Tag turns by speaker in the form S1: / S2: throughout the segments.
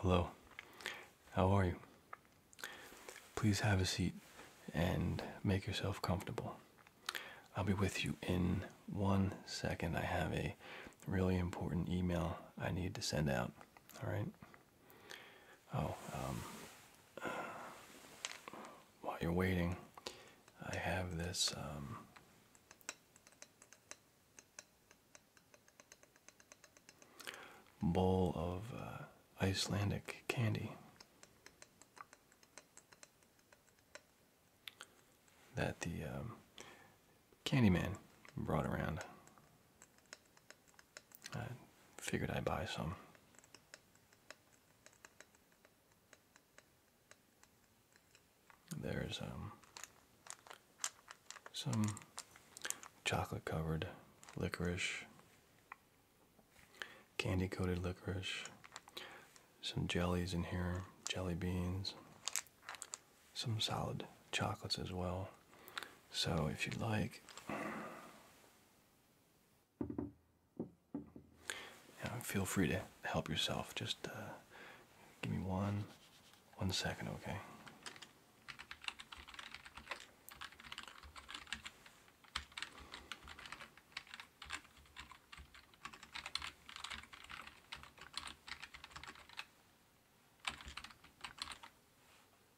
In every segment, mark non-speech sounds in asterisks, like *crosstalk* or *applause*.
S1: Hello, how are you? Please have a seat and make yourself comfortable. I'll be with you in one second. I have a really important email I need to send out. All right. Oh, um, while you're waiting, I have this. Um, bowl of uh, Icelandic candy that the um, candy man brought around. I figured I'd buy some. There's um, some chocolate covered licorice, candy coated licorice, some jellies in here, jelly beans, some solid chocolates as well. So, if you'd like, now, feel free to help yourself. Just uh, give me one, one second, okay?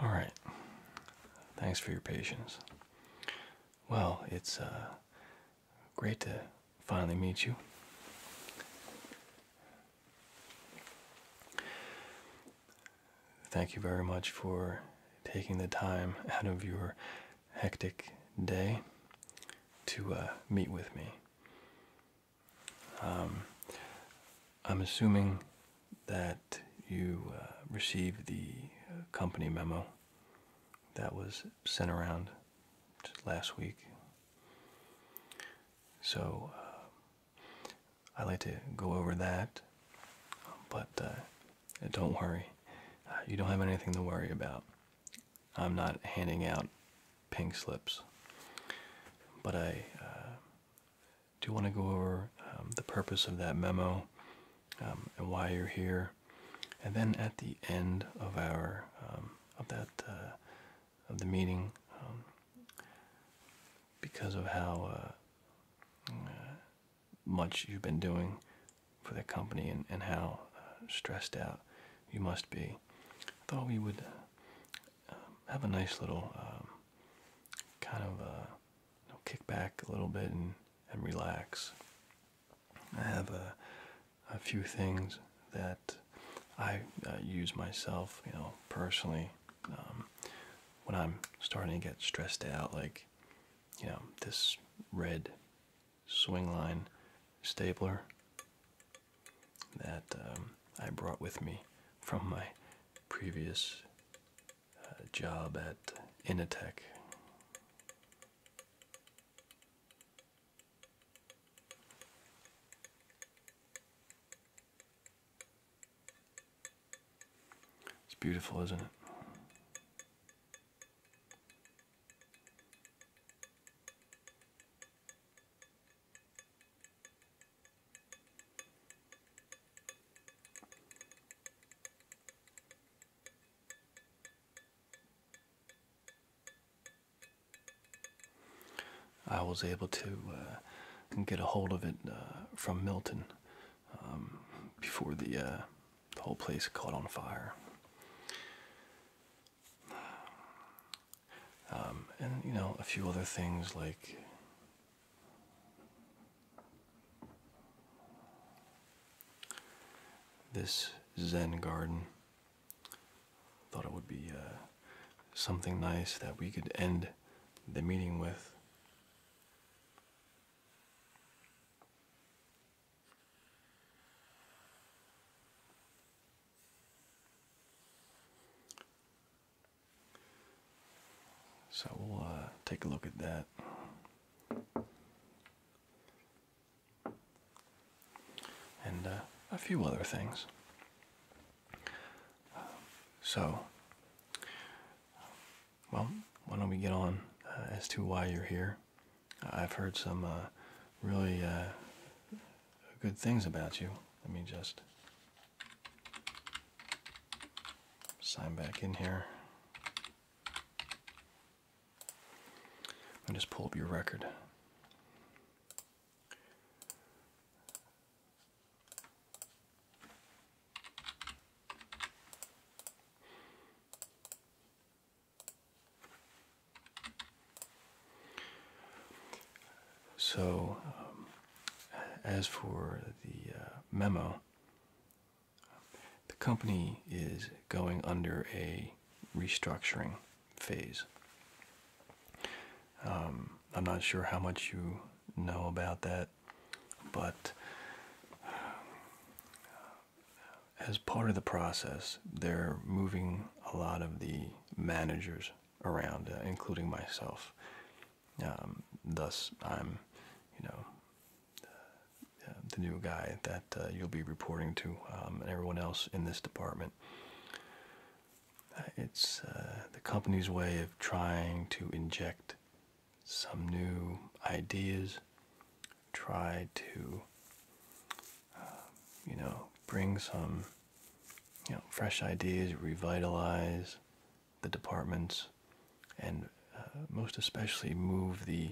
S1: All right. Thanks for your patience. Well, it's uh, great to finally meet you. Thank you very much for taking the time out of your hectic day to uh, meet with me. Um, I'm assuming that you uh, received the uh, company memo that was sent around last week. So, I like to go over that, but uh, don't worry, uh, you don't have anything to worry about. I'm not handing out pink slips, but I uh, do want to go over um, the purpose of that memo um, and why you're here, and then at the end of our um, of that of the meeting um, because of how uh, uh, much you've been doing for the company and, and how uh, stressed out you must be. I thought we would um, have a nice little um, kind of kick back a little bit and, and relax. I have a, a few things that I use myself, you know, personally um, when I'm starting to get stressed out, like you know, this red swing line stapler that um, I brought with me from my previous uh, job at Initech. It's beautiful, isn't it? I was able to uh, get a hold of it uh, from Milton um, before uh, the, whole place caught on fire. Um, and you know, a few other things like this Zen garden. Thought it would be something nice that we could end the meeting with. So we'll uh, take a look at that. And uh, a few other things so, well, why don't we get on uh, as to why you're here? I've heard some uh, really uh, good things about you. Let me just sign back in here. Let just pull up your record. So, um, as for the uh, memo, the company is going under a restructuring phase. Um, I'm not sure how much you know about that, but uh, as part of the process, they're moving a lot of the managers around, uh, including myself. Um, thus, I'm, you know, the uh, new guy that you'll be reporting to, um, and everyone else in this department. It's uh, the company's way of trying to inject some new ideas, try to, um, you know, bring some, you know, fresh ideas, revitalize the departments, and uh, most especially move the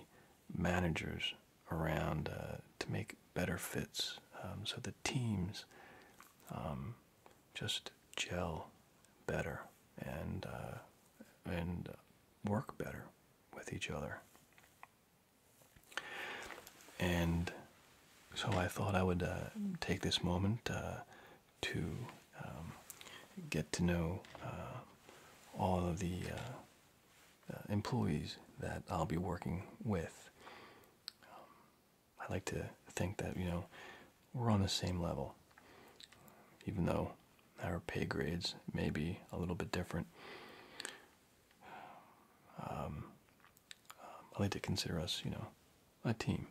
S1: managers around uh, to make better fits. Um, so the teams um, just gel better and uh, and work better with each other. And so I thought I would uh, take this moment uh, to um, get to know all of the employees that I'll be working with. I like to think that, you know, we're on the same level, even though our pay grades may be a little bit different. Um, I like to consider us, you know, a team.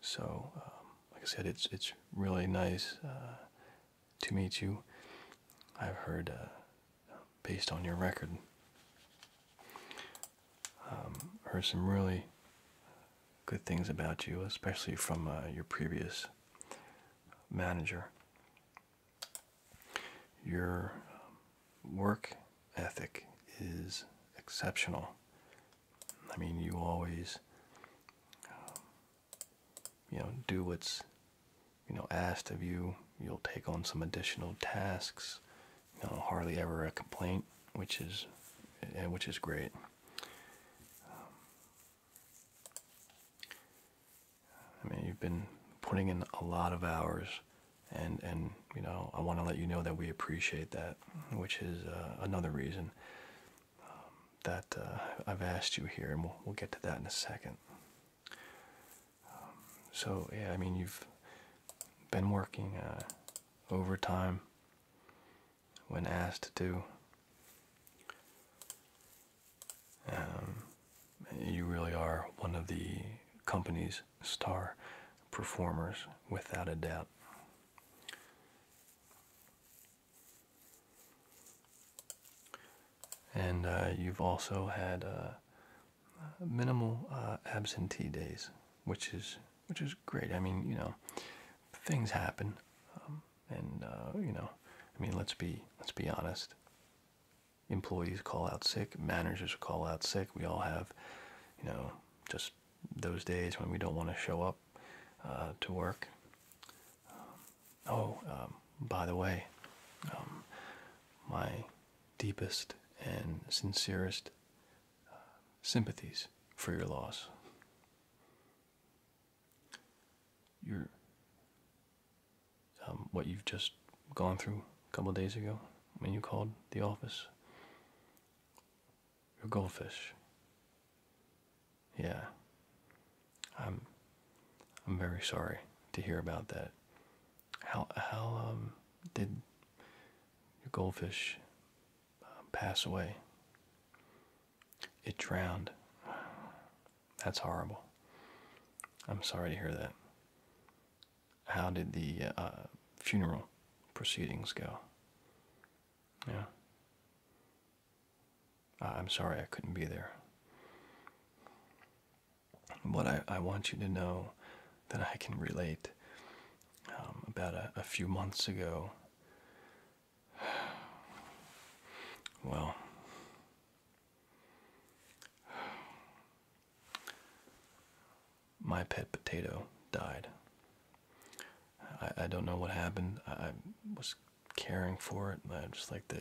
S1: So, um, like I said, it's it's really nice uh, to meet you. I've heard, uh, based on your record, um, Hear some really good things about you, especially from uh, your previous manager. Your um, work ethic is exceptional. I mean, you always, um, you know, do what's, you know, asked of you. You'll take on some additional tasks you hardly ever a complaint, which is eh, which is great. I mean, you've been putting in a lot of hours, and and you know, I want to let you know that we appreciate that, which is uh, another reason um, that uh, I've asked you here, and we'll we'll get to that in a second. Um, so yeah, I mean, you've been working uh, over time when asked to um, you really are one of the company's star performers, without a doubt. And uh, you've also had uh, minimal uh, absentee days, which is which is great. I mean, you know, things happen, um, and uh, you know, I mean, let's be let's be honest. Employees call out sick, managers call out sick. We all have, you know, just those days when we don't want to show up uh, to work. Um, oh, um, by the way, my deepest and sincerest sympathies for your loss. Your um, what you've just gone through a couple days ago when you called the office. Your goldfish. Yeah. I'm I'm very sorry to hear about that. How how um did your goldfish um, pass away. It drowned. That's horrible. I'm sorry to hear that. How did the uh, funeral proceedings go? Yeah. I'm sorry I couldn't be there. But I, I want you to know that I can relate um, about a, few months ago. *sighs* Well, my pet potato died. I, I don't know what happened. I was caring for it. I just like the,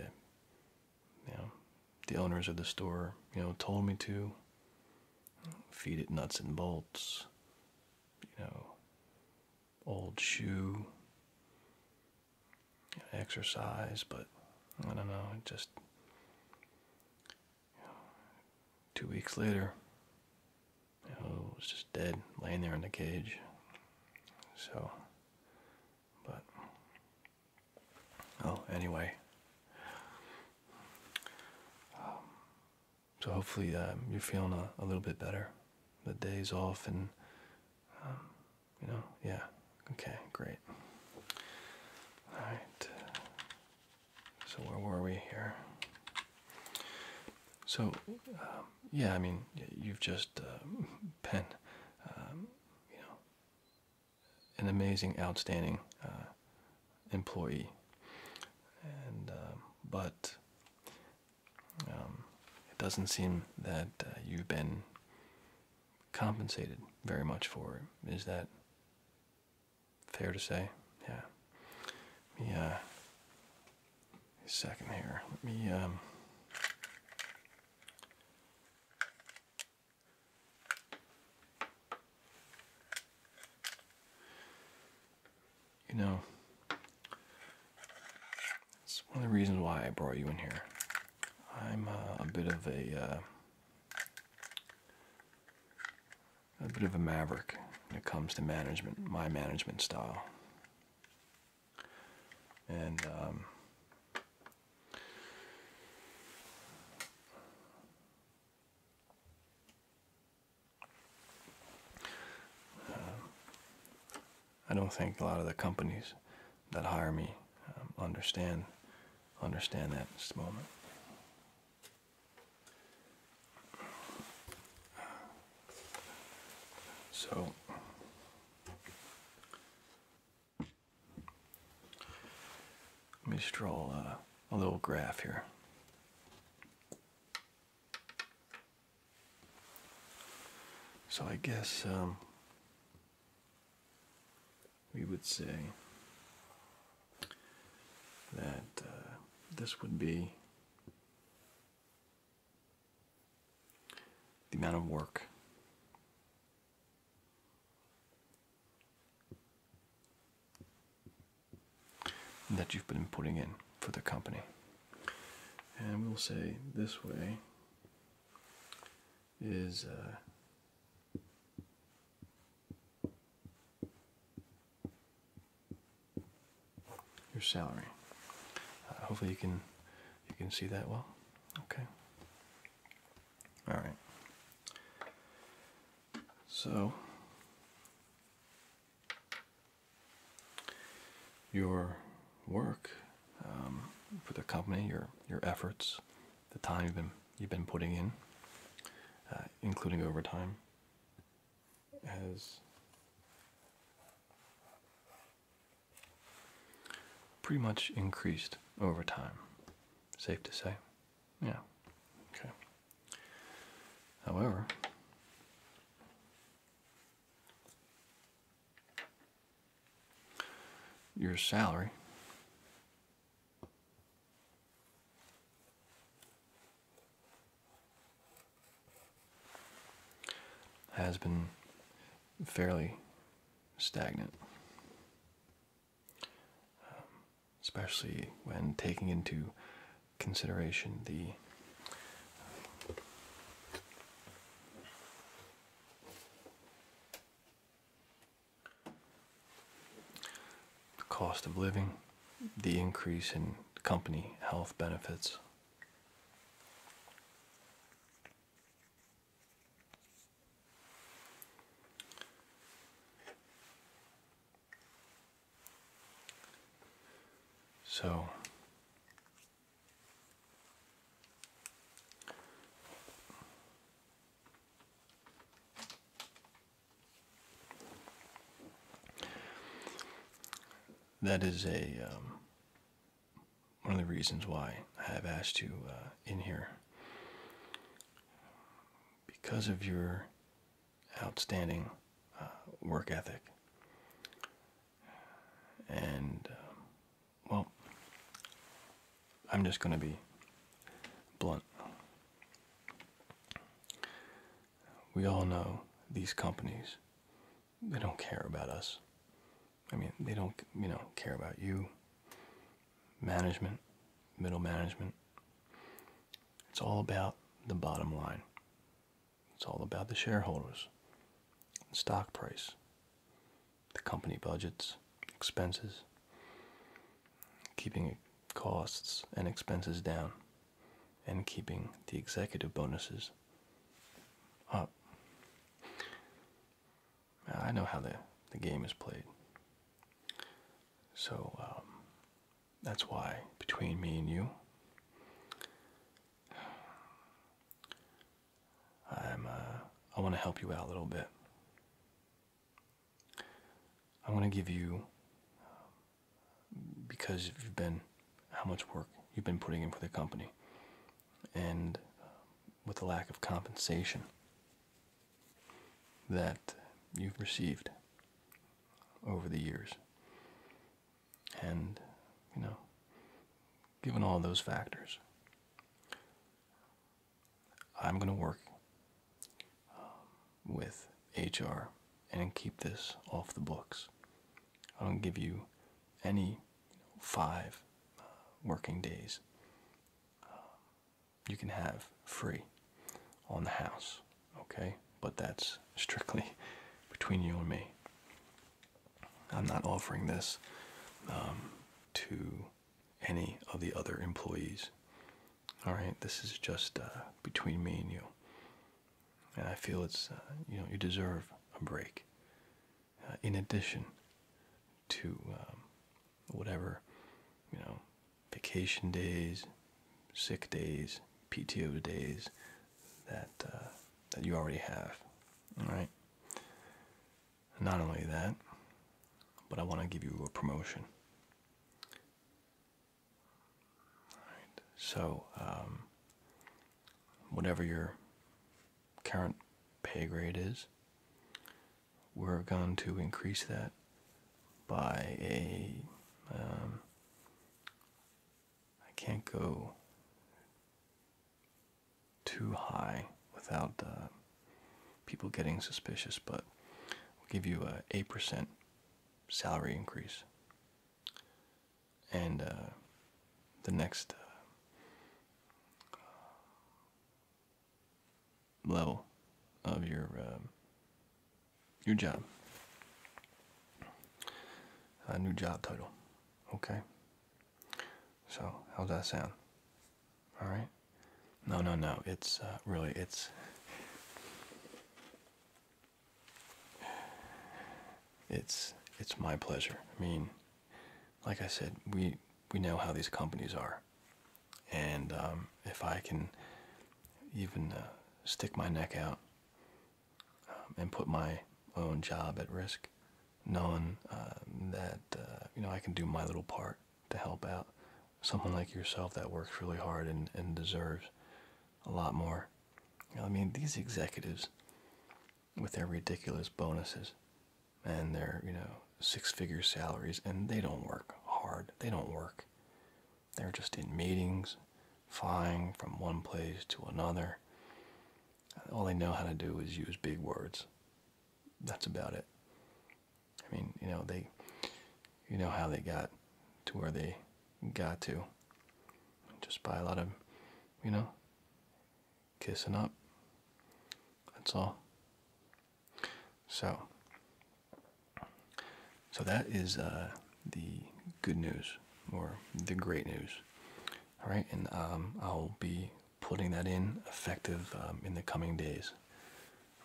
S1: you know, the owners of the store, you know, told me to feed it nuts and bolts, you know, old shoe, exercise, but I don't know, just two weeks later, it was just dead, laying there in the cage. So, but, oh, anyway. Um, so hopefully um, you're feeling a, little bit better. The day's off and, um, you know, yeah. Okay, great. All right. So where were we here? So, um, yeah, I mean, you've just uh, *laughs* been, you know, an amazing, outstanding uh, employee and um, but um, it doesn't seem that uh, you've been compensated very much for it. Is that fair to say? Yeah. Let uh, second here. Let me, um, you know, it's one of the reasons why I brought you in here. I'm uh, a bit of a uh, a bit of a maverick when it comes to management, my management style, and. Um, I don't think a lot of the companies that hire me um, understand understand that at this moment. So let me just uh, draw a little graph here so I guess um, we would say that uh, this would be the amount of work that you've been putting in for the company. And we'll say this way is uh, your salary. Uh, hopefully you can you can see that well. Okay. All right. So your work um, for the company, your your efforts, the time you've been you've been putting in, uh, including overtime, has pretty much increased over time. Safe to say. Yeah. Okay. However, your salary has been fairly stagnant. Um, especially when taking into consideration the cost of living, the increase in company health benefits. So, that is a um, one of the reasons why I have asked you uh, in here because of your outstanding uh, work ethic. And, um, well, I'm just going to be blunt. We all know these companies, they don't care about us. I mean, they don't, you know, care about you, management, middle management. It's all about the bottom line. It's all about the shareholders, the stock price, the company budgets, expenses, keeping costs and expenses down, and keeping the executive bonuses up. I know how the, the game is played. So, um, that's why, between me and you, I'm, uh, I want to help you out a little bit. I want to give you, because you've been, how much work you've been putting in for the company, and uh, with the lack of compensation that you've received over the years. And, you know, given all those factors, I'm going to work um, with HR and keep this off the books. I don't give you any five uh, working days. Um, you can have free on the house okay? But that's strictly *laughs* between you and me. I'm not offering this um, to any of the other employees. All right, this is just uh, between me and you. And I feel it's, uh, you know, you deserve a break. Uh, in addition to um, whatever, you know, vacation days, sick days, PTO days that uh, that you already have. All right. Not only that, but I want to give you a promotion. All right. So, um, whatever your current pay grade is, we're going to increase that by a, um, can't go too high without uh, people getting suspicious, but give you a eight percent salary increase, and uh, the next uh, level of your um, New job. A new job title. Okay. So how's that sound? All right. No, no, no. It's uh, really it's. It's it's my pleasure. I mean, like I said, we we know how these companies are, and um, if I can even uh, stick my neck out um, and put my own job at risk, knowing um, that uh, you know I can do my little part to help out someone like yourself that works really hard and, and deserves a lot more. I mean, these executives with their ridiculous bonuses and their you know six-figure salaries, and they don't work hard. They don't work they're just in meetings, flying from one place to another. All they know how to do is use big words. That's about it. I mean, you know, they, you know how they got to where they got to. Just by a lot of, you know, kissing up. That's all. So, so that is uh, the good news or the great news. All right, and um, I'll be putting that in effective um, in the coming days.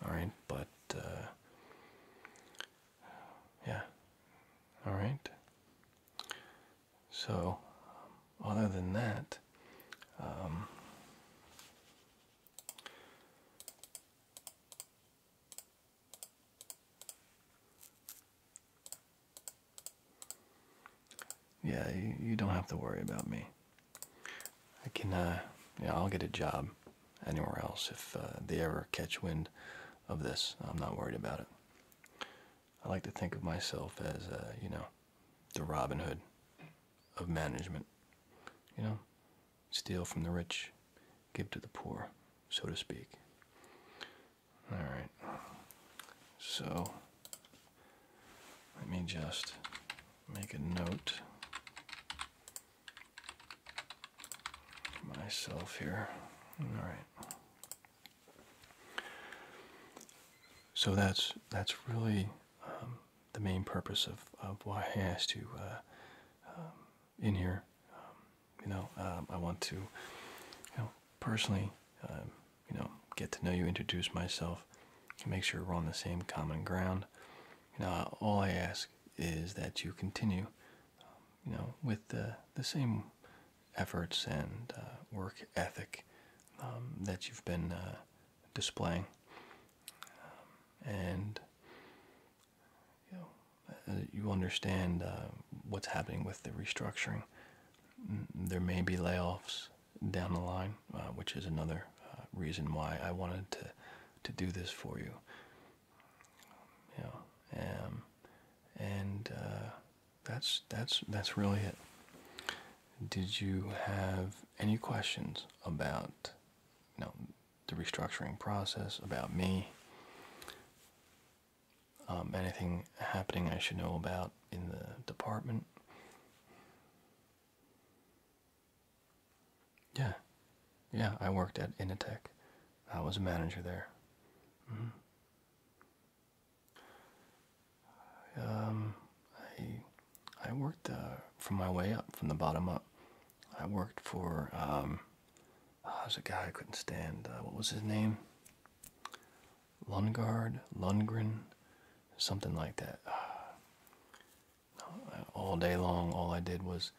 S1: All right, but uh, yeah. All right. So, other than that, um, yeah, you, don't have to worry about me. I can, uh, you know, I'll get a job anywhere else if uh, they ever catch wind of this. I'm not worried about it. I like to think of myself as, uh, you know, the Robin Hood of management. You know, steal from the rich, give to the poor, so to speak. All right, so let me just make a note myself here. All right. So that's that's really um, the main purpose of, of why I asked you uh, um, in here. Um, you know, um, I want to, you know, personally, um, you know, get to know you, introduce myself, make sure we're on the same common ground. You know, all I ask is that you continue, you know, with the the same efforts and uh, work ethic that you've been uh, displaying, and you uh, know, you understand uh, what's happening with the restructuring. Mm, there may be layoffs down the line, uh, which is another reason why I wanted to to do this for you. you know, um, and that's that's that's really it. Did you have any questions about? No, the restructuring process, about me, um, anything happening I should know about in the department. Yeah, yeah, I worked at Initech. I was a manager there. Mm-hmm. Um, I I worked uh, from my way up, from the bottom up. I worked for um, oh, there's a guy I couldn't stand. Uh, what was his name? Lundgard, Lundgren, something like that. *sighs* all day long, all I did was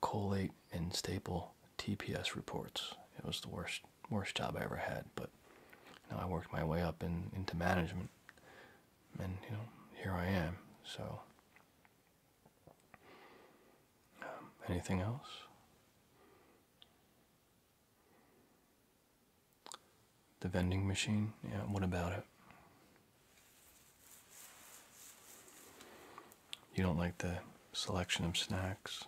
S1: collate and staple TPS reports. It was the worst worst job I ever had, but now I worked my way up in, into management, and you know here I am. So um, anything else? The vending machine? Yeah, what about it? You don't like the selection of snacks?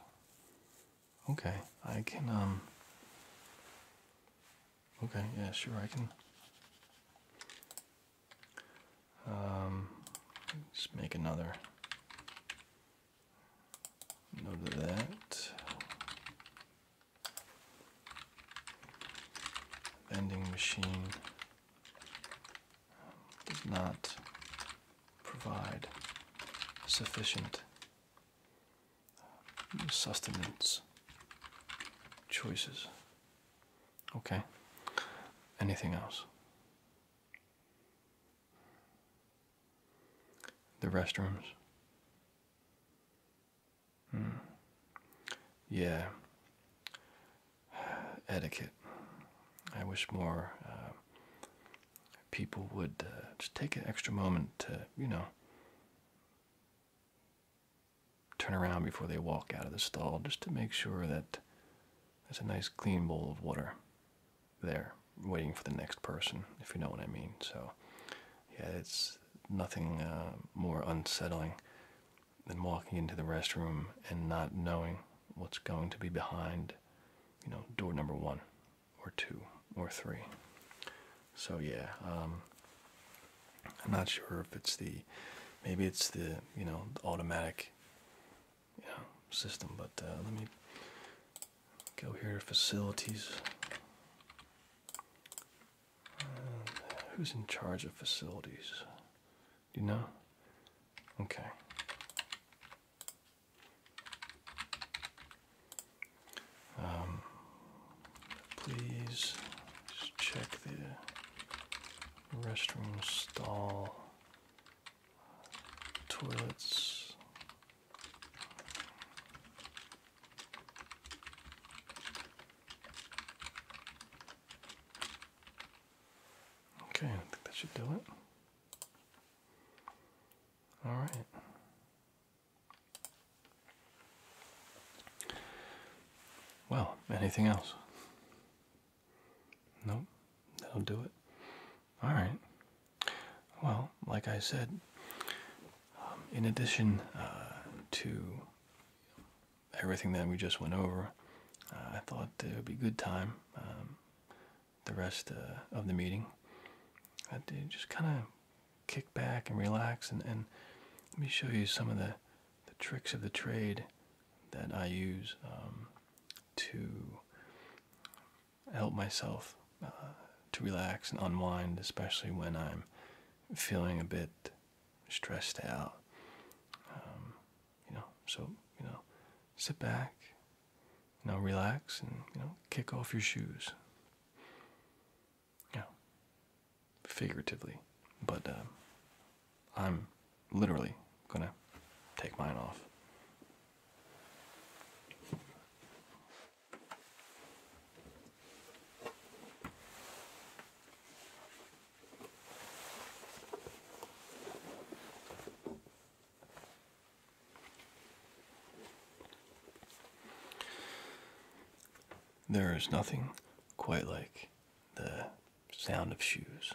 S1: Okay, I can, um. Okay, yeah, sure, I can. Um, make another note of that. Vending machine does not provide sufficient sustenance choices. Okay. Anything else? The restrooms. Hmm. Yeah. *sighs* Etiquette. I wish more uh, people would uh, just take an extra moment to, you know, turn around before they walk out of the stall just to make sure that there's a nice clean bowl of water there waiting for the next person, if you know what I mean. So, yeah, it's nothing uh, more unsettling than walking into the restroom and not knowing what's going to be behind, you know, door number one or two or three. So, yeah, um, I'm not sure if it's the maybe it's the you know automatic yeah, system. But uh, let me go here, facilities. Uh, who's in charge of facilities? Do you know? Okay. Um, please check the restroom stall toilets. Okay, I think that should do it. All right. Well, anything else? Nope, that'll do it. All right. Well, like I said, um, in addition uh, to everything that we just went over, uh, I thought it would be a good time um, the rest uh, of the meeting that just kind of kick back and relax and let me show you some of the the tricks of the trade that I use um, to help myself uh, to relax and unwind, especially when I'm feeling a bit stressed out. Um, you know, so you know, sit back, you relax, and you know, kick off your shoes. Yeah, figuratively, but. Uh, I'm literally gonna take mine off. There is nothing quite like the sound of shoes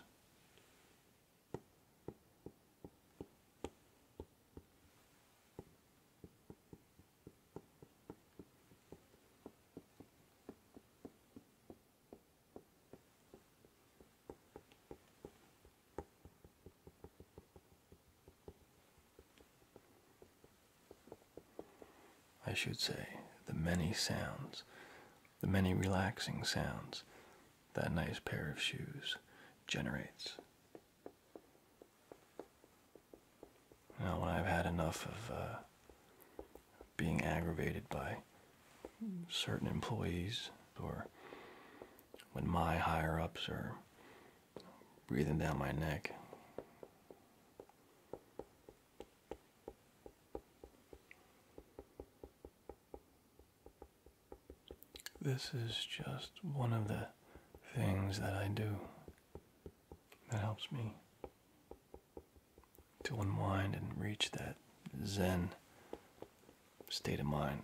S1: I should say, the many sounds the many relaxing sounds that nice pair of shoes generates. Now, when I've had enough of uh, being aggravated by certain employees, or when my higher ups are breathing down my neck, this is just one of the things that I do that helps me to unwind and reach that zen state of mind.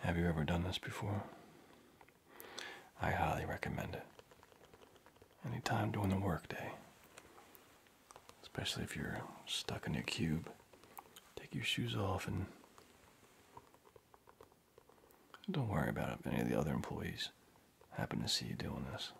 S1: Have you ever done this before? I highly recommend it. Anytime during the workday, especially if you're stuck in your cube, take your shoes off and don't worry about it if any of the other employees happen to see you doing this.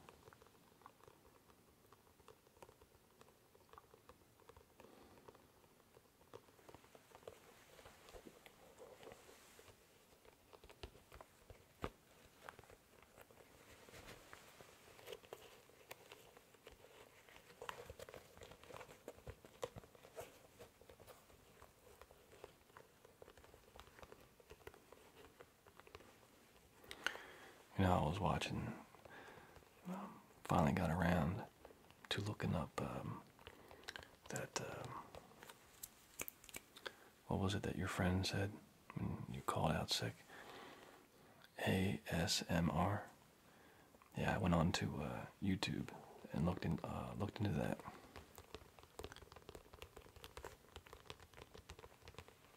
S1: You know, I was watching, um, finally got around to looking up um, that um, what was it that your friend said when you called out sick? ASMR. Yeah, I went on to uh, YouTube and looked in uh, looked into that.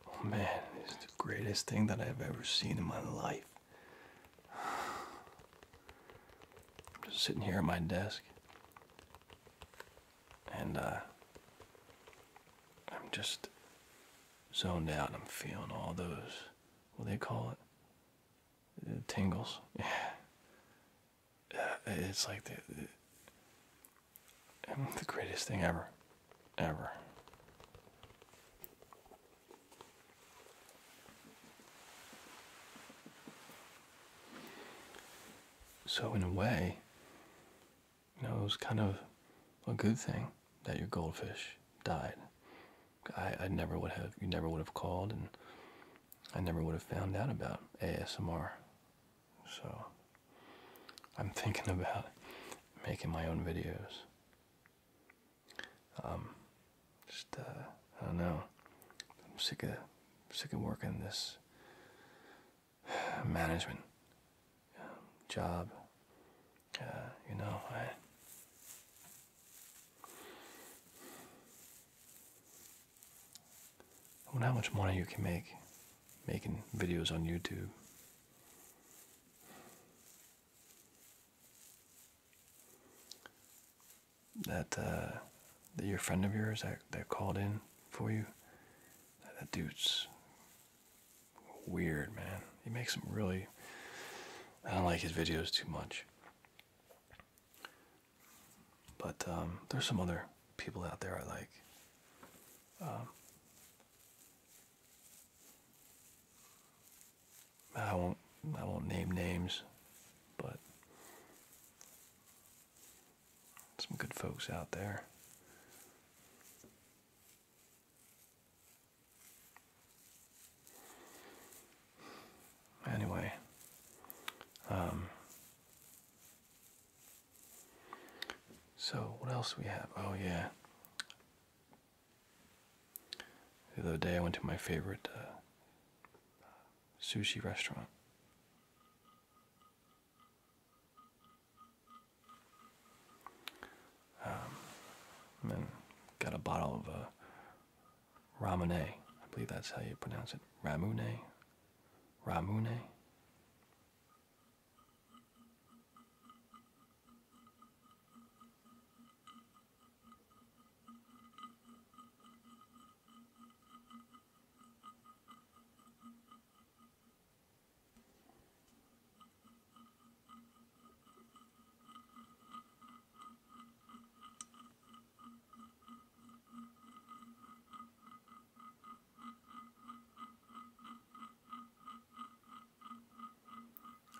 S1: Oh man, it's the greatest thing that I've ever seen in my life. *sighs* I'm just sitting here at my desk, and uh, I'm just zoned out. and I'm feeling all those well, they call it tingles. *laughs* Yeah, it's like the, the greatest thing ever, ever. So in a way, you know, it was kind of a good thing that your goldfish died. I, I never would have, you never would have called, and I never would have found out about ASMR. So I'm thinking *laughs* about making my own videos. Um, just, uh, I don't know. I'm sick of I sick of working this *sighs* management um, job. Uh, you know, I wonder how much money you can make making videos on YouTube that uh, that your friend of yours that that called in for you. That, dude's weird, man. He makes some really. I don't like his videos too much. But um, there's some other people out there I like. Um, I won't I won't name names, but some good folks out there. Anyway, um, so what else we have? Oh, yeah. The other day I went to my favorite uh, sushi restaurant then um, got a bottle of uh, ramune. I believe that's how you pronounce it. Ramune. Ramune.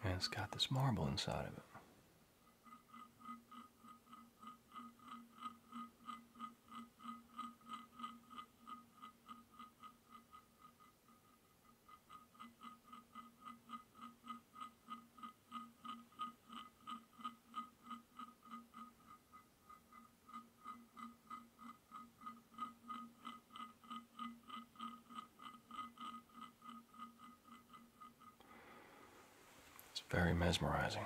S1: And it's got this marble inside of it. It's very mesmerizing.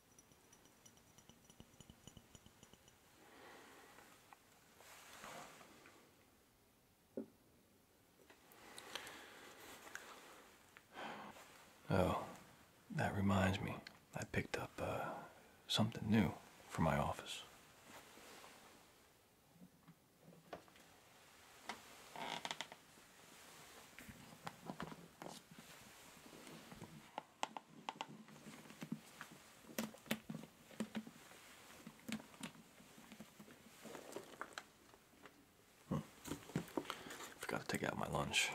S1: Oh, that reminds me. I picked up uh, something new for my office. Hmm. Forgot to take out my lunch.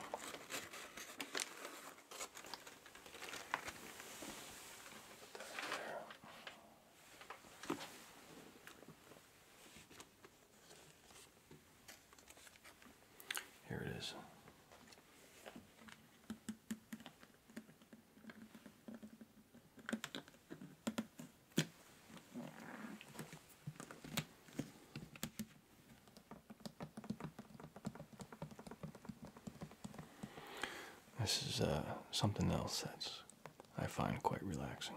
S1: Here it is. This is uh, something else that's I find quite relaxing.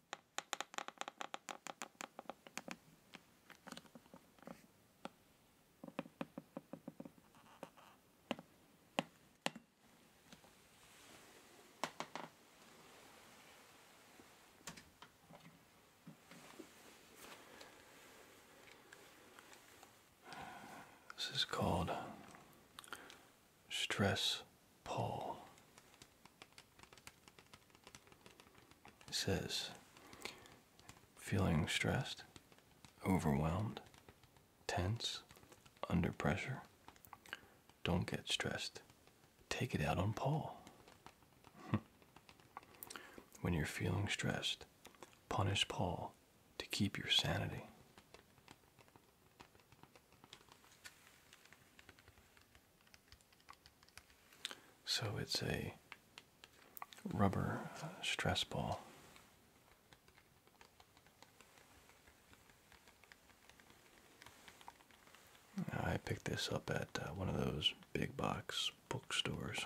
S1: This is called stress pull. It says, feeling stressed, overwhelmed, tense, under pressure. Don't get stressed. Take it out on Paul. *laughs* when you're feeling stressed, punish Paul to keep your sanity. So it's a rubber uh, stress ball. I picked this up at uh, one of those big box bookstores.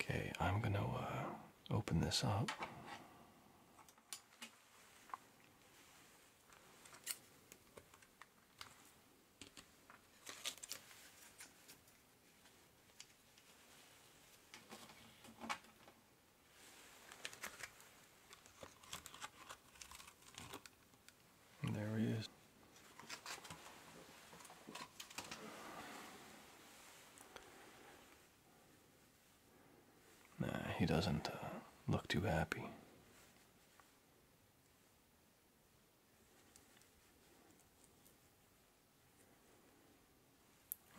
S1: Okay, I'm going to uh, open this up. And there he is. Nah, he doesn't uh, look too happy.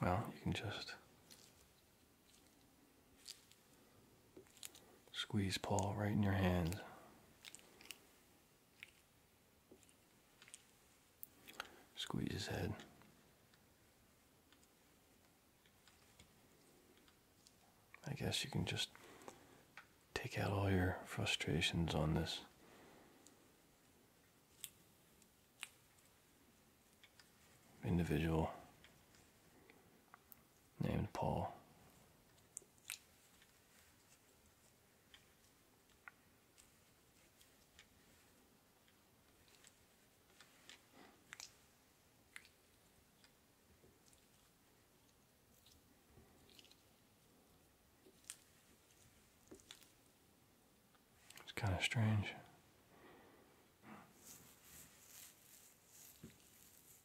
S1: Well, you can just Squeeze Paul right in your hands. Squeeze his head. I guess you can just take out all your frustrations on this. individual named Paul. It's kind of strange.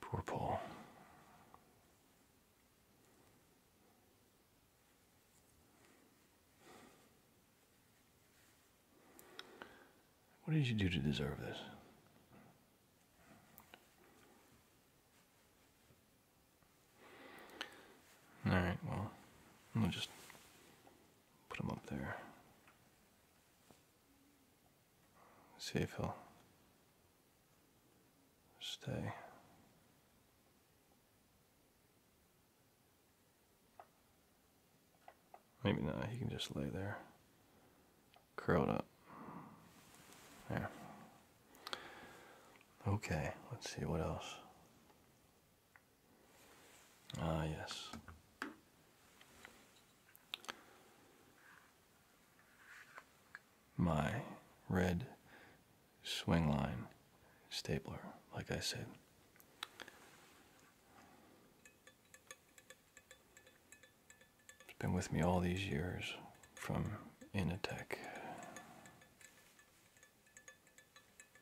S1: Poor Paul. What did you do to deserve this? All right, well, I'll just Put him up there. See if he'll stay. Maybe not. He can just lay there, curled up. There. Okay, let's see what else. Ah, yes. My red swing line stapler, like I said. It's been with me all these years from Inatech.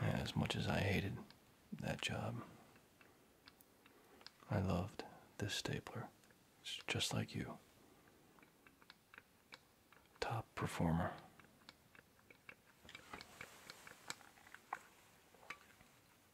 S1: As much as I hated that job, I loved this stapler. It's just like you. Top performer.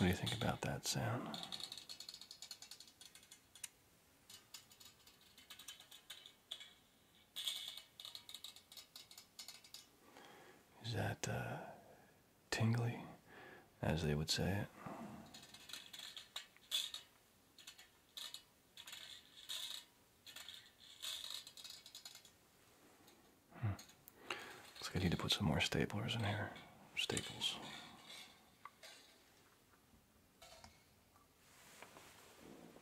S1: What do you think about that sound? Is that uh, tingly, as they would say it? Hmm. Looks like I need to put some more staples in here. Staples.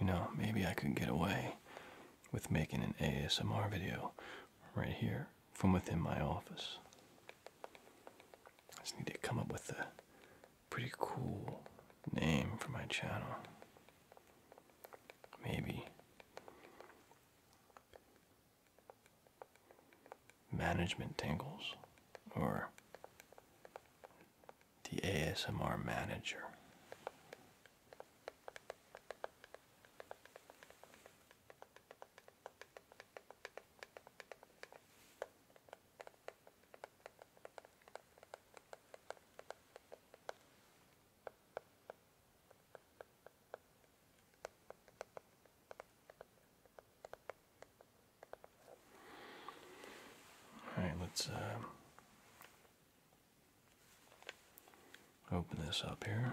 S1: You know, maybe I could get away with making an ASMR video right here from within my office. I just need to come up with a pretty cool name for my channel. Maybe Management Tangles" or the ASMR Manager. All right, let's uh, open this up here.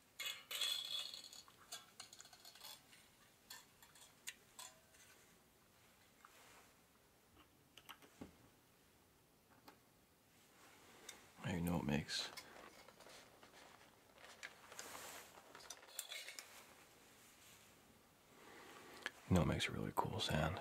S1: I know it makes. You know it makes a really cool sound.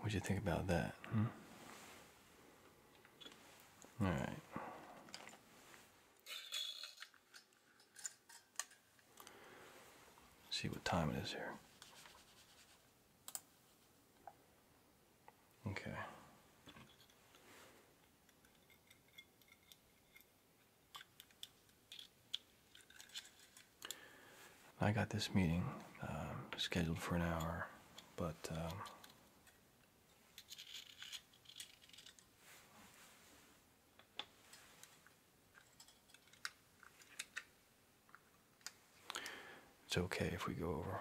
S1: What'd you think about that? Hmm? All see what time it is here. Okay. I got this meeting um, scheduled for an hour, but um, it's okay if we go over.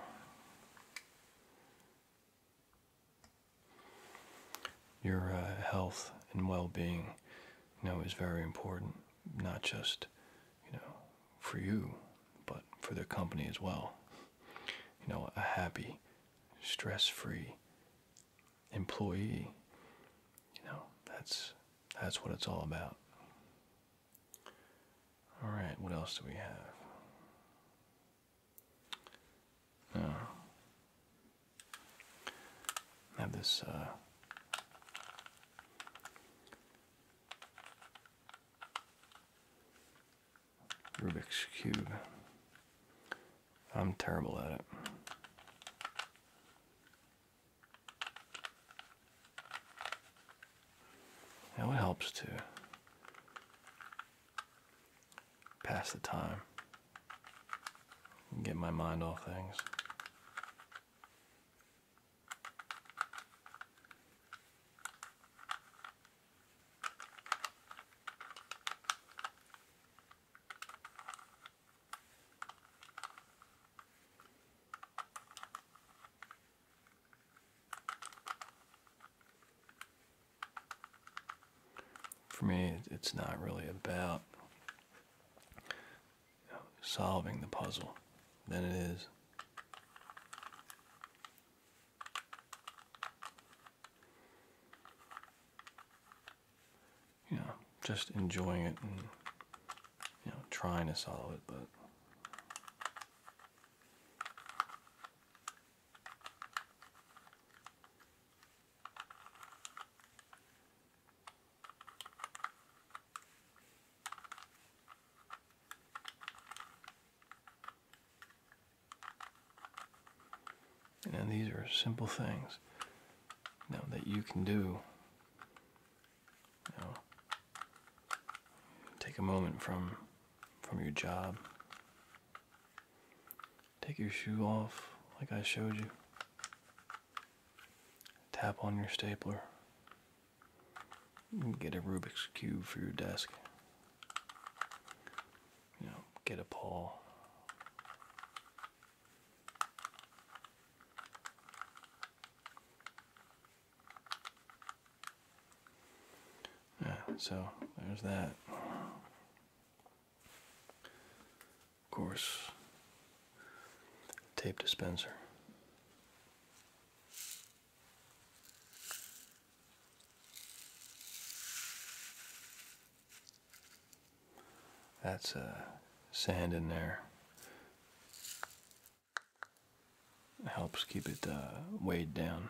S1: Your uh, health and well-being, you know, is very important not just you know for you but for their company as well you know a happy stress-free employee you know that's that's what it's all about all right what else do we have no uh, have this uh, Rubik's Cube. I'm terrible at it. Now it helps to pass the time and get my mind off things. For me, it's not really about solving the puzzle than it is you know just enjoying it and you know trying to solve it but and these are simple things now that you can do. You take a moment from from your job. Take your shoe off like I showed you. Tap on your stapler. Get a Rubik's Cube for your desk. You know, get a paw. Yeah, so there's that. Of course, tape dispenser. That's uh, sand in there. Helps keep it uh, weighed down.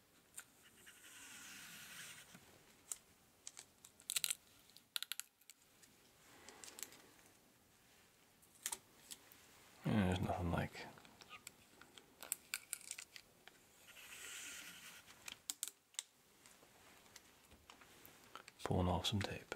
S1: there's nothing like pulling off some tape.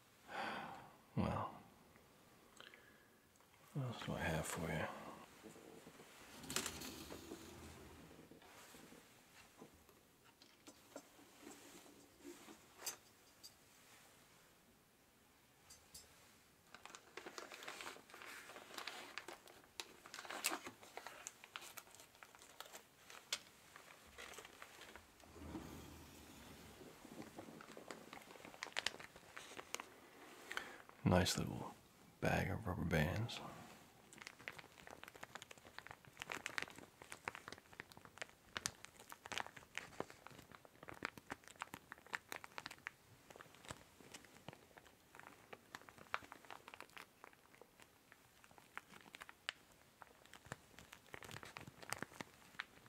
S1: Well, what else do I have for you? Nice little bag of rubber bands.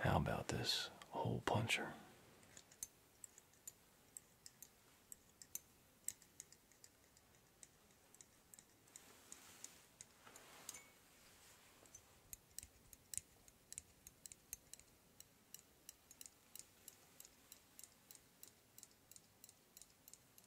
S1: How about this hole puncher?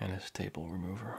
S1: and his table remover.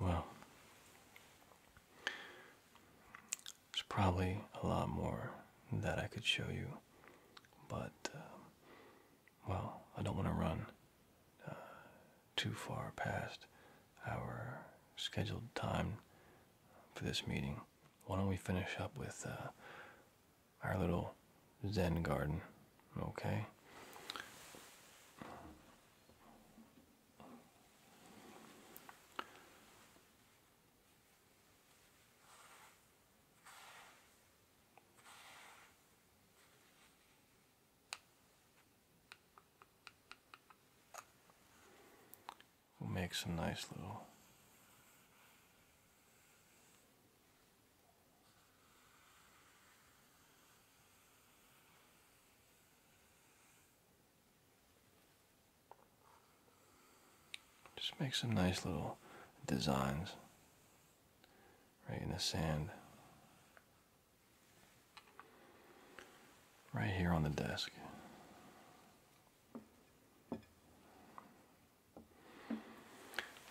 S1: Well, there's probably a lot more that I could show you, but, uh, well, I don't want to run uh, too far past our scheduled time for this meeting. Why don't we finish up with uh, our little Zen garden. Okay. We'll make some nice little just make some nice little designs right in the sand. Right here on the desk.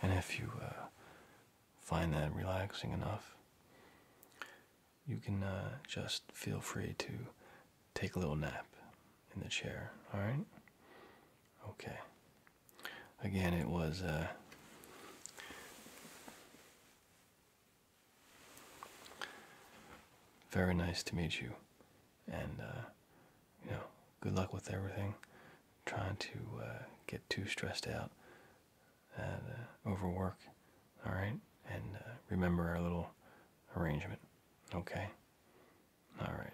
S1: And if you uh, find that relaxing enough, you can uh, just feel free to take a little nap in the chair. All right? Okay. Again, it was. Uh, very nice to meet you and uh, you know good luck with everything trying to get too stressed out uh, overwork. All right, and uh, remember our little arrangement. Okay. All right.